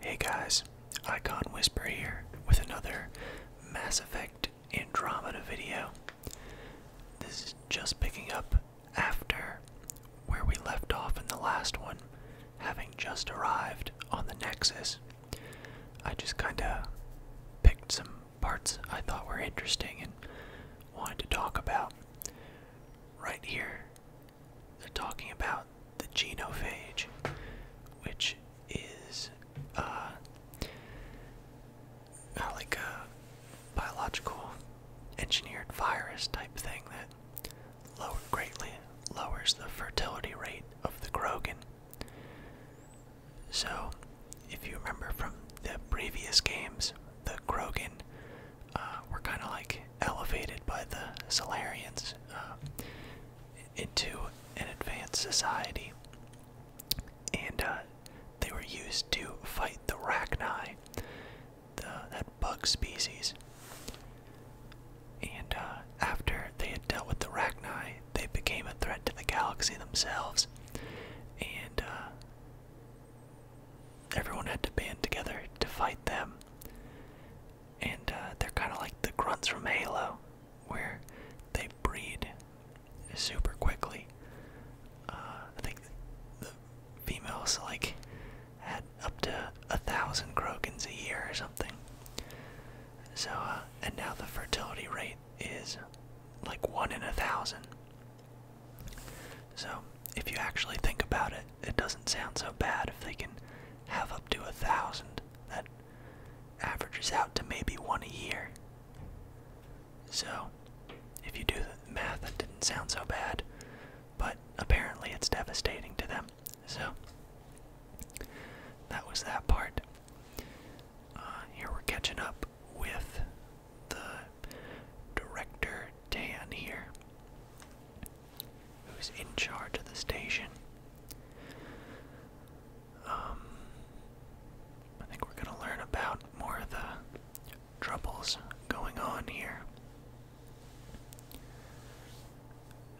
Hey guys, Icon Whisper here with another Mass Effect Andromeda video. This is just picking up after where we left off in the last one, having just arrived on the Nexus. I just kinda picked some parts I thought were interesting and wanted to talk about. Right here they're talking about the genophage, which is uh, like a biological engineered virus type thing that greatly lowers the fertility rate of the Krogan. So, if you remember from the previous games, the Krogan uh, were kind of like elevated by the Solarians uh, into an advanced society, and uh, they were used to fight the Rachni, the, that bug species. And uh, after they had dealt with the Rachni, they became a threat to the galaxy themselves, and everyone had to band together to fight them and uh, they're kind of like the grunts from Halo, where they breed super quickly. Uh, I think the females like had up to a thousand Krogans a year or something. So, uh, and now the fertility rate is like one in a thousand. So, if you actually think about it, it doesn't sound so bad if they can have up to a thousand. That averages out to maybe one a year. So, if you do the math, that didn't sound so bad, but apparently it's devastating to them. So, that was that part. Uh, here we're catching up with the director Dan here who's in charge of the station. Um, I think we're going to learn about more of the troubles going on here.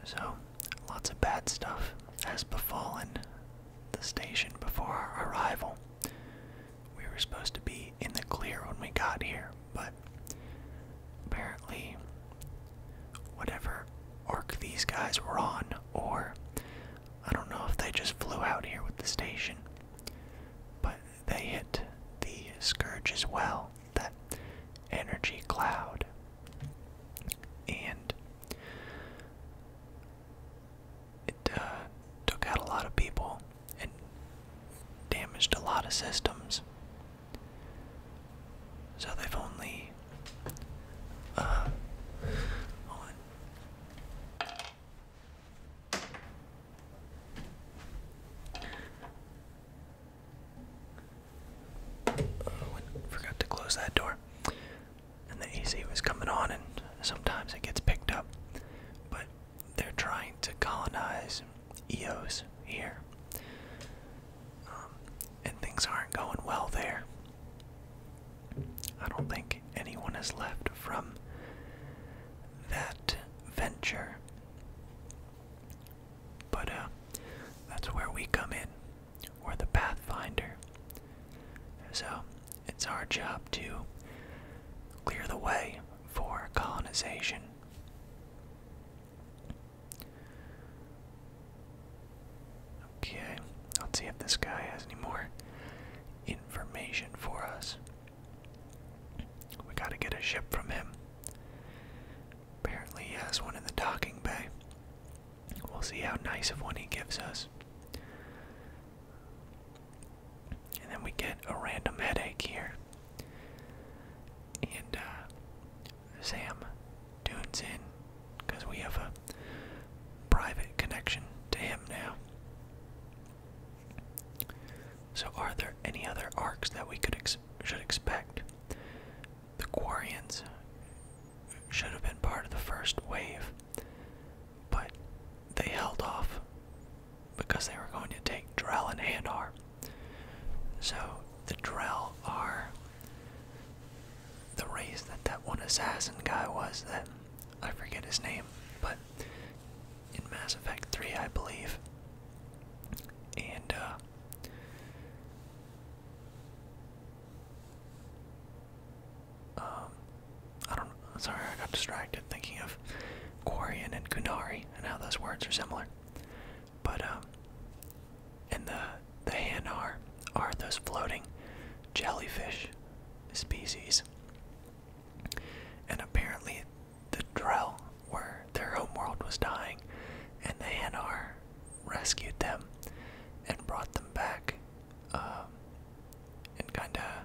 So, lots of bad stuff has befallen the station before our arrival. We were supposed to be in the clear when we got here, but apparently, whatever orc these guys were on, or I don't know if they just flew out here with the station, but they hit the scourge as well, that energy cloud. And it uh, took out a lot of people and damaged a lot of systems. So they've only uh, on. Oh, forgot to close that door. And the AC was coming on, and sometimes it gets picked up. But they're trying to colonize Eos here. Um, and things aren't going well there. I don't think anyone is left from that venture. But uh, that's where we come in. We're the Pathfinder. So it's our job to clear the way for colonization. Okay, let's see if this guy has any more information for us. We gotta get a ship from him. Apparently, he has one in the docking bay. We'll see how nice of one he gives us. And then we get a random headache here and uh, Sam tunes in because we have a private connection to him now. So, are there any other arcs that we could should expect? The Quarians should have been part of the first wave, but they held off because they were going to take Drell and Hanar. So the Drell are the race that that one assassin guy was that I forget his name, but in Mass Effect 3, I believe. And, uh, um, I don't sorry, I got distracted thinking of Quarian and Kunari and how those words are similar. But um and the the hanar are those floating jellyfish species. And apparently the Drell where their homeworld was dying and the hanar rescued them and brought them back um, and kinda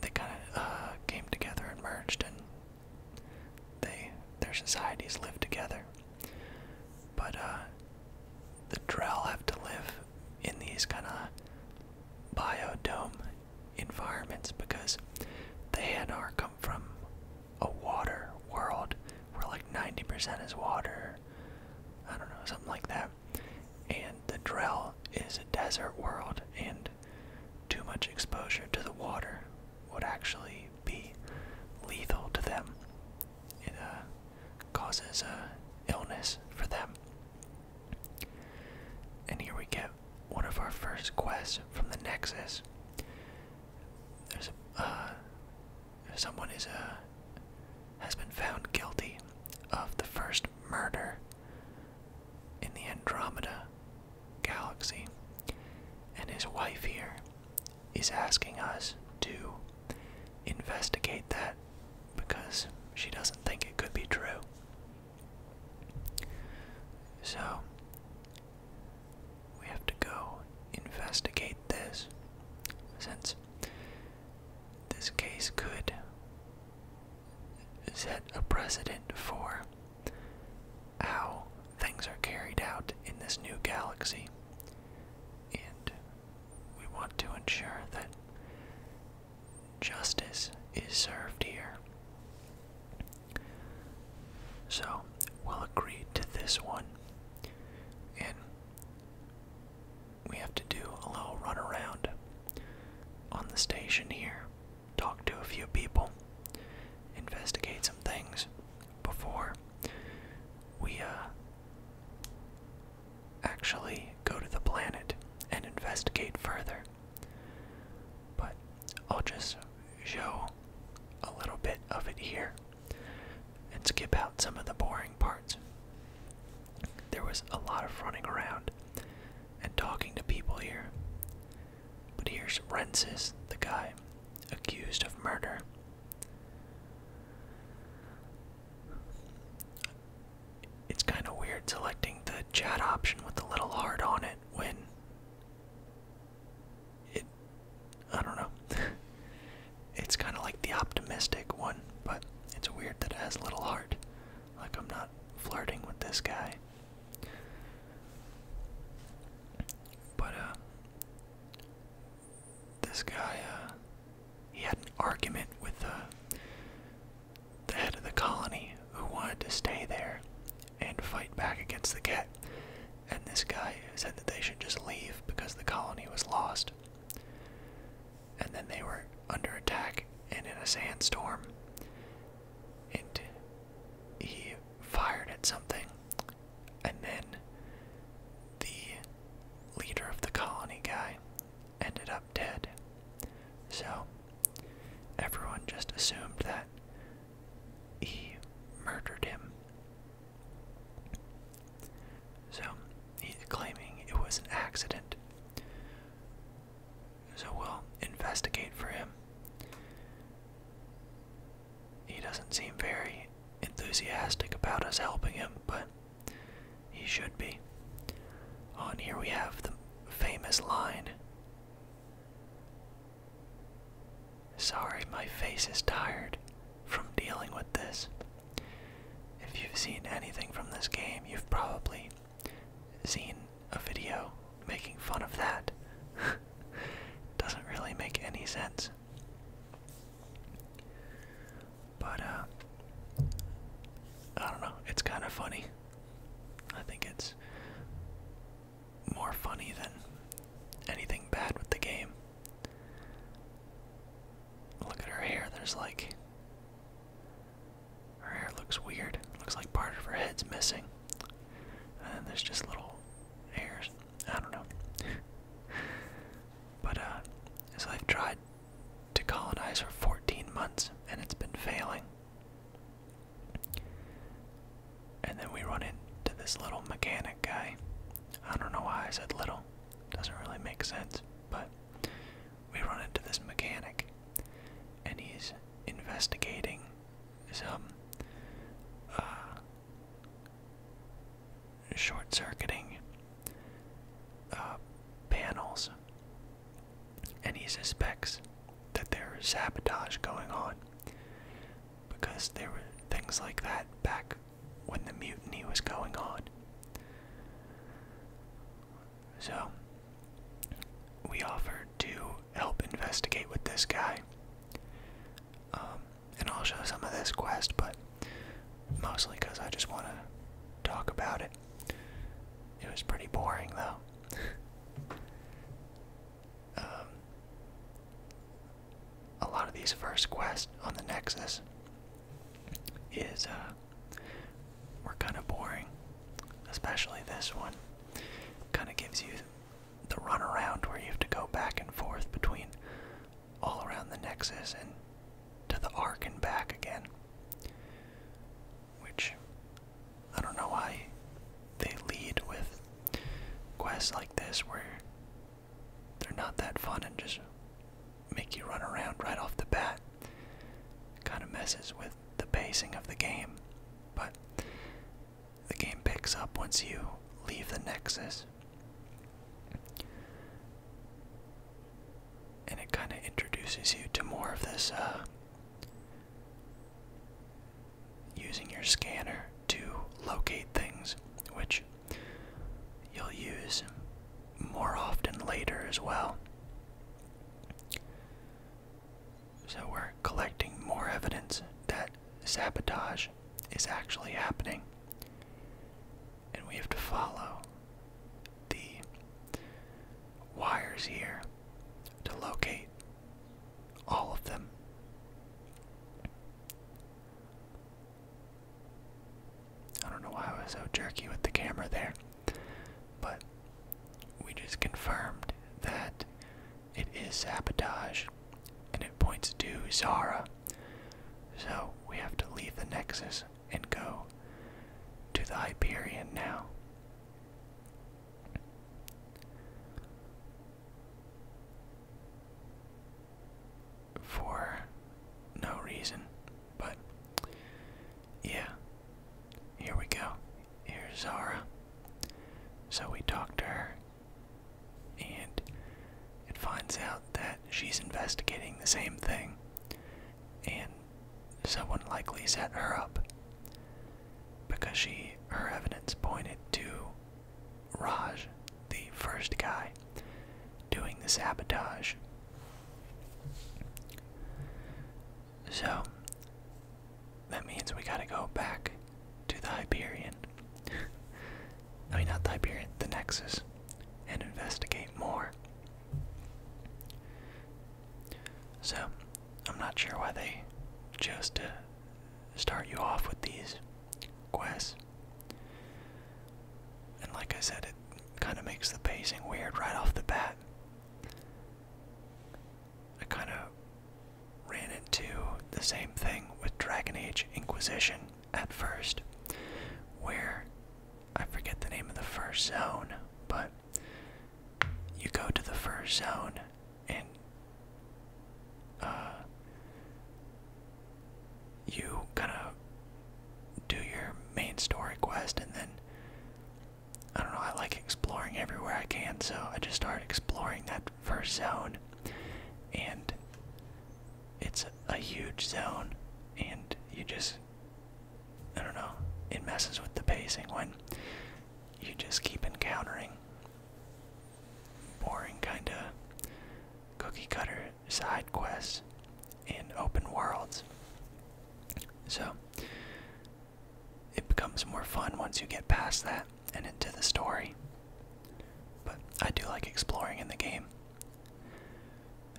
they kinda uh, came together and merged and they their societies live together. But uh, the Drell have to live in these kinda biodome environments because the Hanar come from a water world where like 90% is water, I don't know, something like that. And the Drell is a desert world, and too much exposure to the water would actually be lethal to them. It uh, causes uh, illness for them. And here we get one of our first quests from the Nexus. There's uh, someone is uh, has been found guilty of the first murder in the Andromeda galaxy. And his wife here is asking us to investigate that because she doesn't think it could be true. So, we have to go investigate this since this case could set a precedent for how things are carried out in this new galaxy. And we want to ensure that justice is served here. So we'll agree to this one. And we have to do a little runaround on the station here talk to a few people, investigate some things before we uh, actually go to the planet and investigate further. But I'll just show a little bit of it here and skip out some of the boring parts. There was a lot of running around and talking to people here. But here's Rensis, the guy accused of murder. It's kind of weird selecting the chat option with a little heart on it when it. I don't know. it's kind of like the optimistic one, but it's weird that it has a little heart. Like I'm not flirting with this guy. But uh, this guy uh, he had an argument with uh, the head of the colony who wanted to stay there and fight back against the cat. And this guy said that they should just leave because the colony was lost. And then they were under attack and in a sandstorm. And he fired at something, and then the leader of the colony guy ended up dead. So everyone just assumed that he murdered him. So he's claiming it was an accident. So we'll investigate for him. He doesn't seem very enthusiastic about us helping him, but he should be. On here we have the famous line Sorry, my face is tired from dealing with this. If you've seen anything from this game, you've probably seen a video making fun of that. Doesn't really make any sense. But, uh, I don't know. It's kind of funny. I think it's more funny than anything bad with the game. Look at her hair. There's like. Her hair looks weird. Looks like part of her head's missing. And then there's just little hairs. I don't know. but uh, so they've tried to colonize for 14 months and it's been failing. And then we run into this little mechanic guy. I don't know why I said little. Doesn't really make sense, but we run into this mechanic and he's investigating some um, uh, short circuiting uh, panels, and he suspects that there is sabotage going on because there were things like that back when the mutiny was going on. So, we offered to help investigate with this guy. Um, and I'll show some of this quest, but mostly because I just want to talk about it. It was pretty boring, though. Um, a lot of these first quests on the Nexus is uh, are kind of boring, especially this one. Kind of gives you the runaround where you have to go back and forth between all around the Nexus and to the Ark and back again. Which I don't know why they lead with quests like this where they're not that fun and just make you run around right off the bat. Kind of messes with the pacing of the game, but the game picks up once you leave the Nexus. And it kind of introduces you to more of this uh, using your scanner to locate things, which you'll use more often later as well. So we're collecting more evidence that sabotage is actually happening. And we have to follow the wires here to locate all of them. I don't know why I was so jerky with the camera there, but we just confirmed that it is sabotage, and it points to Zara. So we have to leave the Nexus and go to the Hyperion now. For no reason, but yeah, here we go. Here's Zara. So we talk to her, and it finds out that she's investigating the same thing, and someone likely set her up because she her evidence pointed to Raj, the first guy, doing the sabotage. So, that means we gotta go back to the Hyperion. I mean, not the Hyperion, the Nexus, and investigate more. So, I'm not sure why they chose to start you off with these quests. And like I said, it kind of makes the pacing weird right off the bat. I kind of ran into the same thing with Dragon Age Inquisition at first, where I forget the name of the first zone, but you go to the first zone and uh, you kind of do your main story quest and then I don't know, I like exploring everywhere I can, so I just started exploring that first zone. And it's a huge zone, and you just, I don't know, it messes with the pacing when you just keep encountering boring, kind of cookie cutter side quests in open worlds. So, it becomes more fun once you get past that and into the story. But I do like exploring in the game.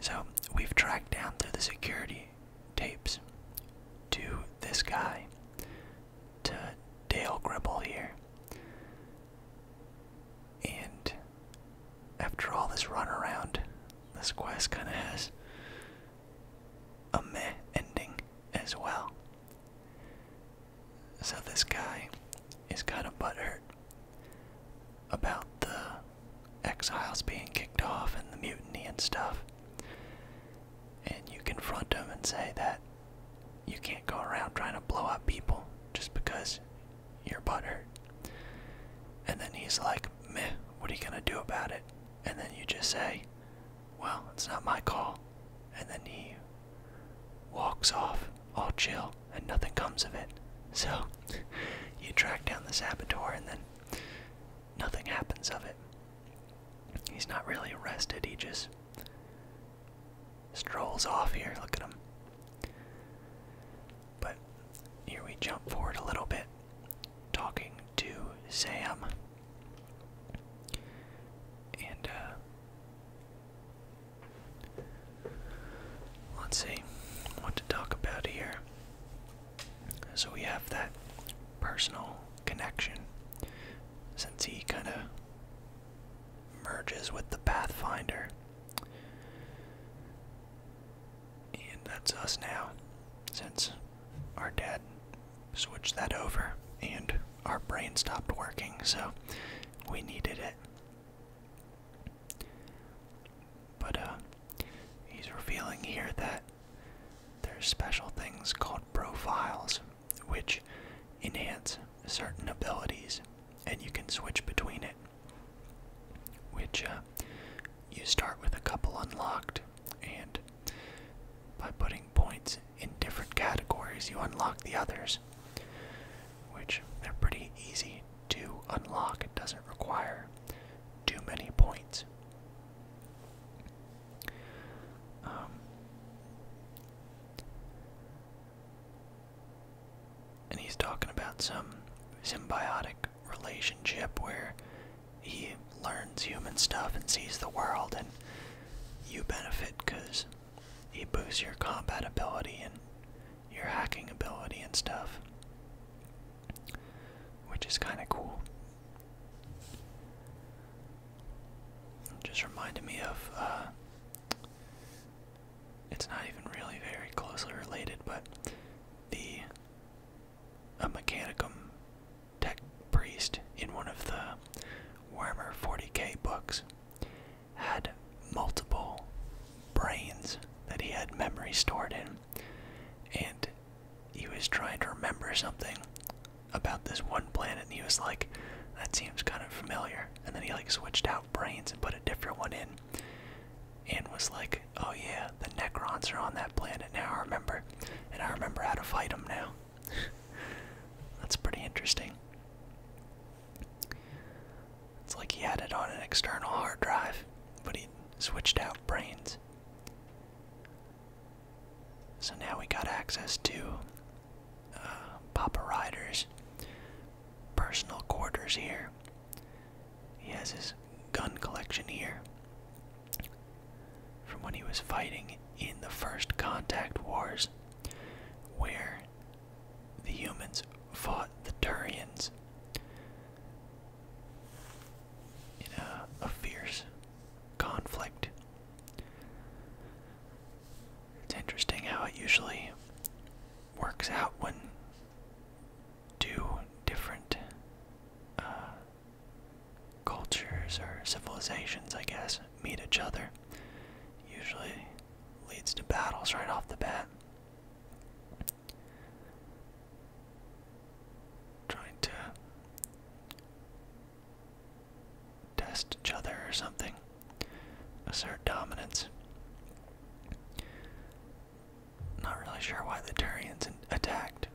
So we've tracked down through the security tapes to this guy, to Dale Gribble here. And after all this runaround, this quest kind of has a meh ending as well. So this guy is kind of butthurt about the exiles being kicked off and the mutiny and stuff. And you confront him and say that you can't go around trying to blow up people just because you're butthurt. And then he's like, meh, what are you gonna do about it? And then you just say, well, it's not my call. And then he walks off, all chill, and nothing comes of it. So you track down the saboteur, and then nothing happens of it. He's not really arrested, he just strolls off here. Look at him. But here we jump forward a little bit, talking to Sam and, uh, let's see what to talk about here. So we have that personal connection since he kind of merges with the Pathfinder. And that's us now, since our dad Switch that over, and our brain stopped working, so we needed it. But uh, he's revealing here that there's special things called profiles, which enhance certain abilities, and you can switch between it. Which uh, you start with a couple unlocked, and by putting points in different categories, you unlock the others, which they're pretty easy to unlock. It doesn't require too many points. Um, and he's talking about some symbiotic relationship where he learns human stuff and sees the world, and you benefit because he boosts your combat ability and your hacking ability and stuff, which is kind of cool. just reminded me of. Uh, it's not even really very closely related, but the a mechanicum Tech Priest in one of the Warhammer 40k books had multiple brains that he had memory stored in, and he was trying to remember something about this one planet, and he was like, "That seems kind of familiar." And then he like switched out brains and put a different one in, and was like, "Oh yeah, the Necrons are on that planet now. I remember, and I remember how to fight them now." That's pretty interesting. It's like he had it on an external hard drive, but he switched out brains. So now we got access to uh, Papa Rider's personal quarters here. He has his gun collection here from when he was fighting in the First Contact Wars, where the humans fought the Turians in a, fierce conflict. It's interesting how it usually works out when two different uh, cultures or civilizations, I guess, meet each other. Usually leads to battles right off the bat. Trying to test each other or something, assert dominance. Not really sure why the Turians attacked.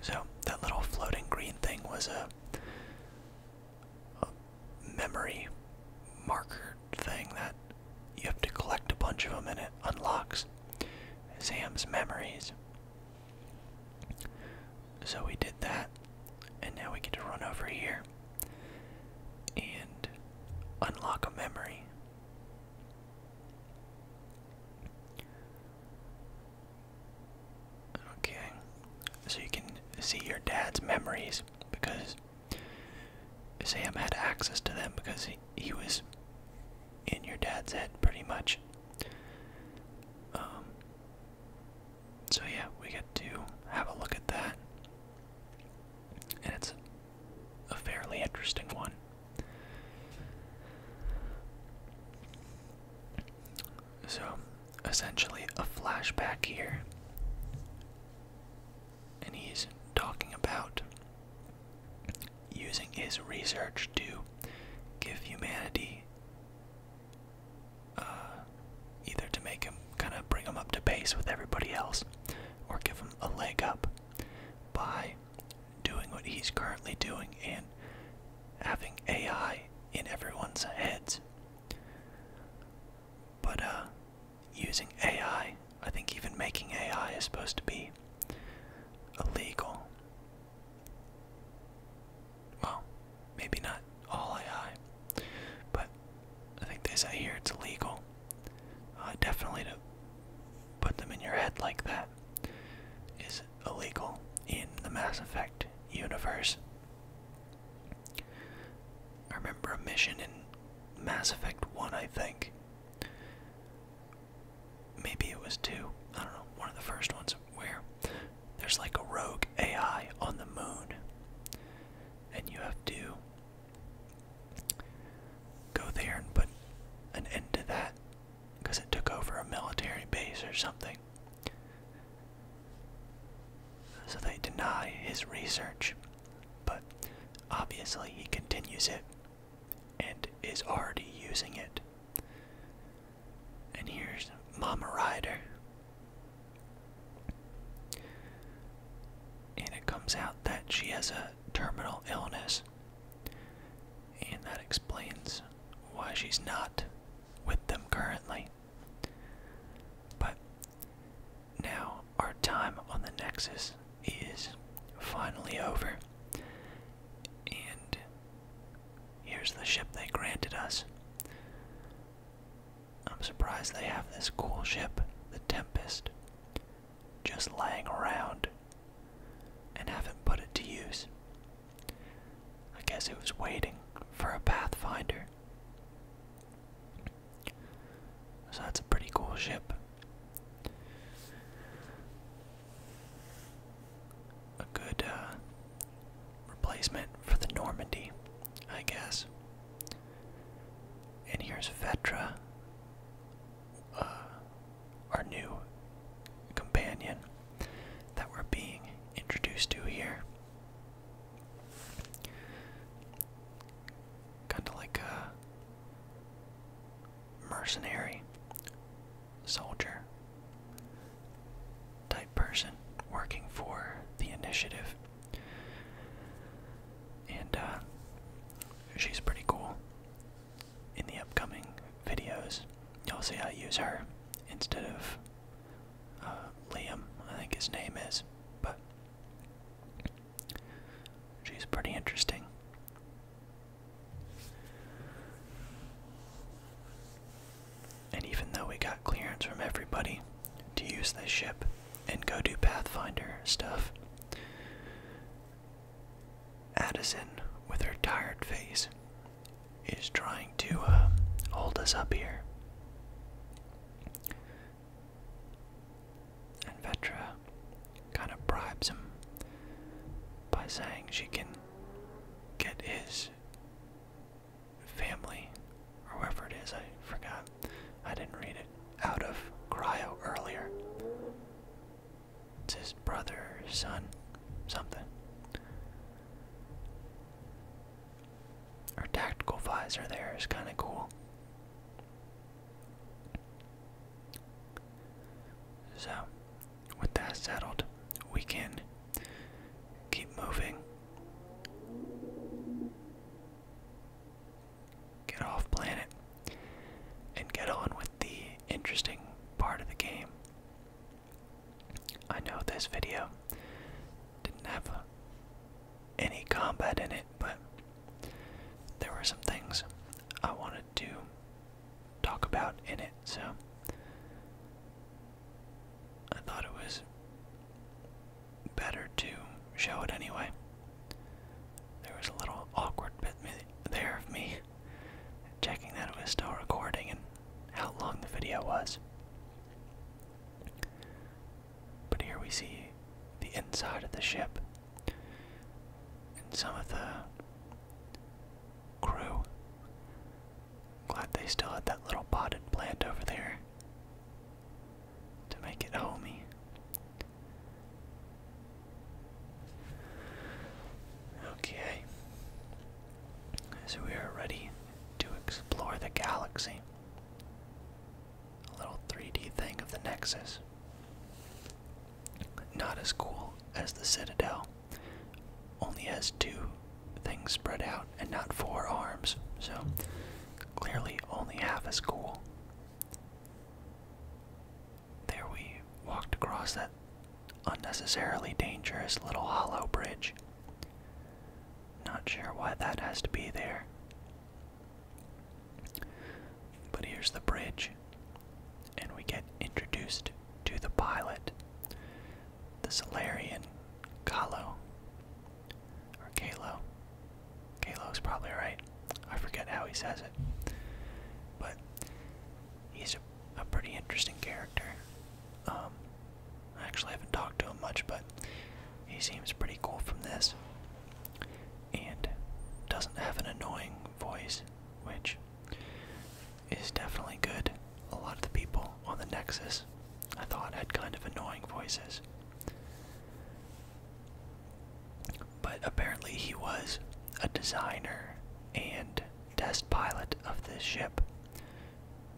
So that little floating green thing was a, memory marker thing that you have to collect a bunch of them and it unlocks Sam's memories. So we did that, and now we get to run over here and unlock a memory. Okay. So you can see your dad's memories because Sam had access to them because he, was in your dad's head pretty much. Um, so yeah, we get to have a look at that. And it's a fairly interesting one. So, essentially, a flashback here. And he's talking about using his research to give humanity uh, either to make him kind of bring him up to base with everybody else or give him a leg up by doing what he's currently doing and having AI in everyone's heads. But uh, using AI, I think even making AI is supposed to be illegal. Well, maybe not all AI, but I think this I here it's illegal. Uh, definitely to put them in your head like that is illegal in the Mass Effect universe. I remember a mission in Mass Effect 1, I think. Maybe it was 2, I don't know, one of the first ones where there's like a rogue AI on the moon, and you have to go there and put an end to that because it took over a military base or something. So they deny his research, but obviously he continues it and is already using it. And here's Mama Ryder. And it comes out that she has a terminal illness. And that explains why she's not with them currently. But now our time on the Nexus is finally over. And here's the ship they granted us. I'm surprised they have this cool ship, the Tempest, just lying around and haven't put it to use. I guess it was waiting for a Pathfinder. So that's a pretty cool ship. A good uh, replacement for the Normandy, I guess. And here's Vetra, uh, our new companion that we're being introduced to here. Kind of like a mercenary soldier type person working for the initiative. And uh, she's pretty cool in the upcoming videos, you'll see I use her instead of uh, Liam, I think his name is, but she's pretty interesting. And even though we got clearance from everybody to use this ship and go do Pathfinder stuff, Addison, with her tired face, is trying to uh, hold us up here. And Vetra kind of bribes him by saying she can get his family, or whoever it is, I forgot. I didn't read it. Out of cryo earlier. It's his brother, son, something. Our tactical visor there is kind of cool. So, with that settled, we can keep moving. Get off planet and get on with the interesting part of the game. I know this video didn't have any combat in it, but there were some things I wanted to talk about in it, so I thought it was better to show it anyway. There was a little awkward bit there of me checking that it was still recording and how long the video was. But here we see the inside of the ship and some of the crew. Glad they still had that little potted plant over there to make it homey. Okay. So we are ready to explore the galaxy. A little 3D thing of the Nexus. Not as cool as the Citadel. Only has two things spread out and not four arms. So clearly only half as cool. There we walked across that unnecessarily dangerous little hollow bridge. Not sure why that has to be there. But here's the bridge, and we get introduced to the pilot, the Solarian Kalo. Or Kalo. Kalo's probably right. I forget how he says it. But he's a, pretty interesting character. Um, I actually haven't talked to him much, but he seems pretty cool from this. And doesn't have an annoying voice, which is definitely good. A lot of the people on the Nexus I thought had kind of annoying voices. But apparently, he was a designer and test pilot of this ship,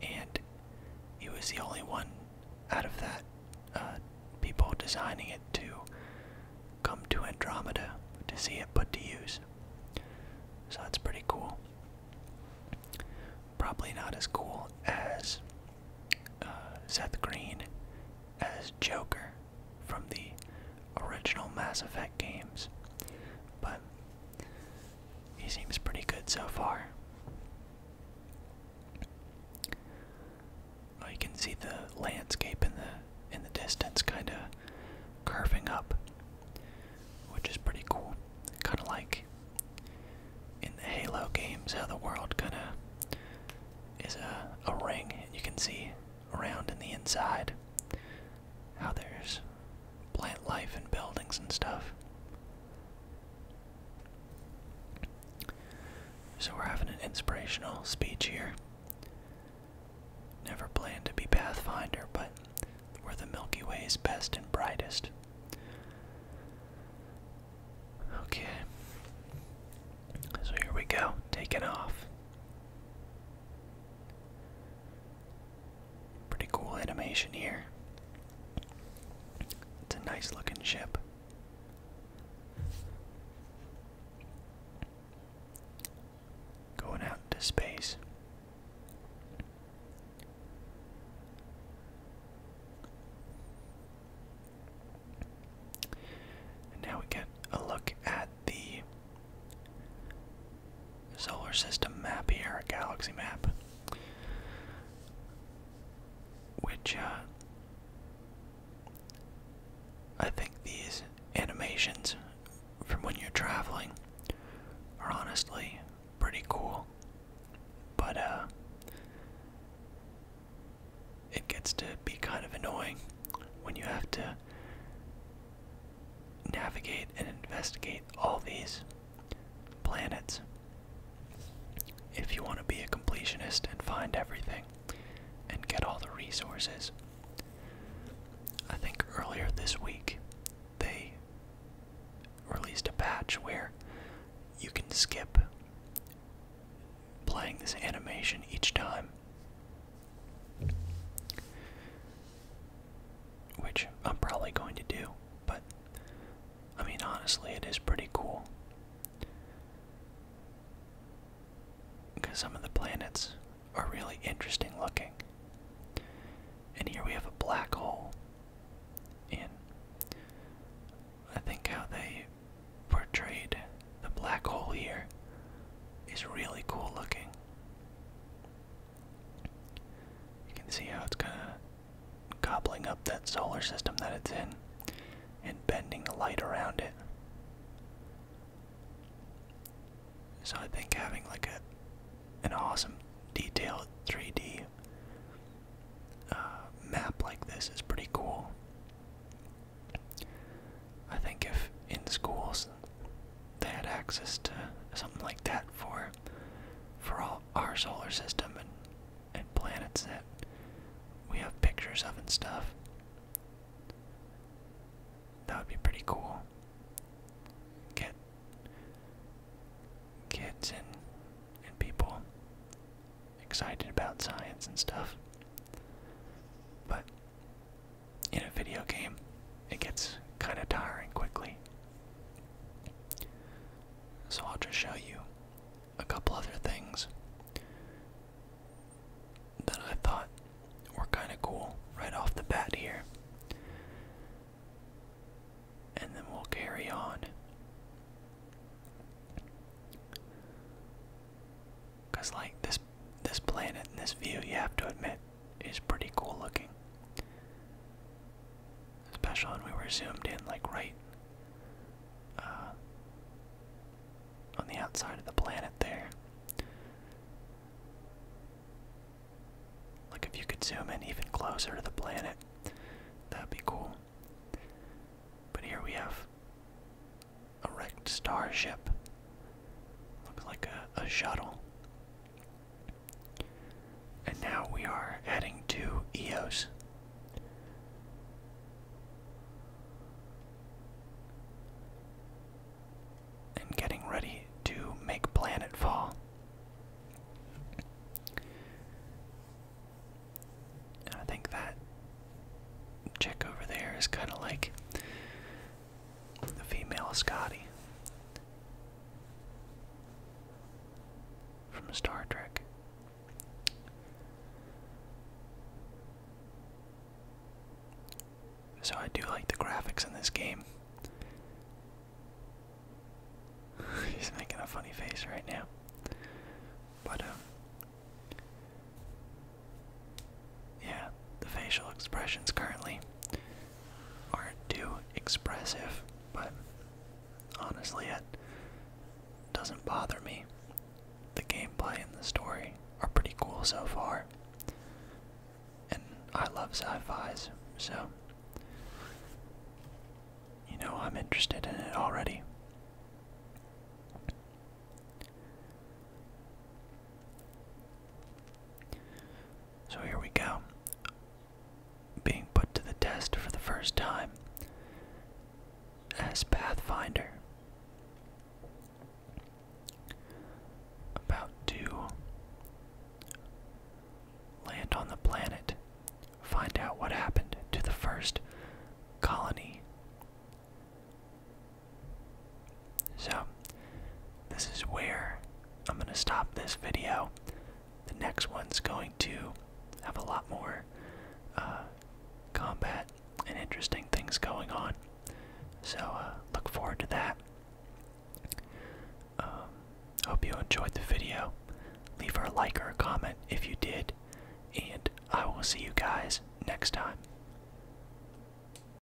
and he was the only one out of that uh, people designing it to come to Andromeda to see it put to use. So that's pretty cool. Probably not as cool as uh, Seth Green as Joker from the original Mass Effect games, but he seems pretty good so far. Oh, you can see the landscape in the in the distance kind of curving up, which is pretty cool. Kind of like in the Halo games, how the world kind of is a, a ring, and you can see around in the inside. How there's plant life and buildings and stuff. So we're having an inspirational speech here. Never planned to be Pathfinder, but we're the Milky Way's best and brightest. Okay. So here we go, taking off. Pretty cool animation here. It's a nice looking ship. Going out into space. now we get a look at the Solar system map here, galaxy map. Which, uh, I think these animations from when you're traveling are honestly pretty cool. But, uh, it gets to be kind of annoying when you have to navigate and investigate all these planets. If you want to be a completionist and find everything and get all the resources. I think earlier this week they released a patch where you can skip playing this animation each time which I'm probably going to do, but I mean, honestly, it is pretty cool. Because some of the planets are really interesting looking. And here we have a black hole. And I think how they portrayed the black hole here is really cool looking. You can see how it's kind of gobbling up that solar system that it's in and bending the light around it. So I think having like a an awesome detailed 3D uh, map like this is pretty cool. I think if in schools because they had access to something like that for for all our solar system and and planets that we have pictures of and stuff. That would be pretty cool. Get kids and and people excited about science and stuff. But in a video game, it gets kind of tiring quickly. So I'll just show you a couple other things that I thought were kind of cool right off the bat here. And then we'll carry on. Because, like, this this planet and this view, you have to admit, is pretty cool looking. Special, when we were zoomed in, like right uh, on the outside of the planet there. Like if you could zoom in even closer to the planet, that'd be cool. But here we have a wrecked starship Looks like a, shuttle. And now we are heading to Eos. And getting ready to make planetfall. And I think that check over there is kind of like the female Scotty from Star Trek. So I do like the graphics in this game. He's making a funny face right now. But um yeah, the facial expressions currently aren't too expressive, but honestly, it doesn't bother me. The gameplay and the story are pretty cool so far, and I love sci fis, so you know, I'm interested in it already. So here we go. Being put to the test for the first time as Pathfinder. About to land on the planet, find out what happened to the first colony so, this is where I'm going to stop this video. The next one's going to have a lot more uh, combat and interesting things going on. So, uh, look forward to that. Um, hope you enjoyed the video. Leave a like or a comment if you did, and I will see you guys next time.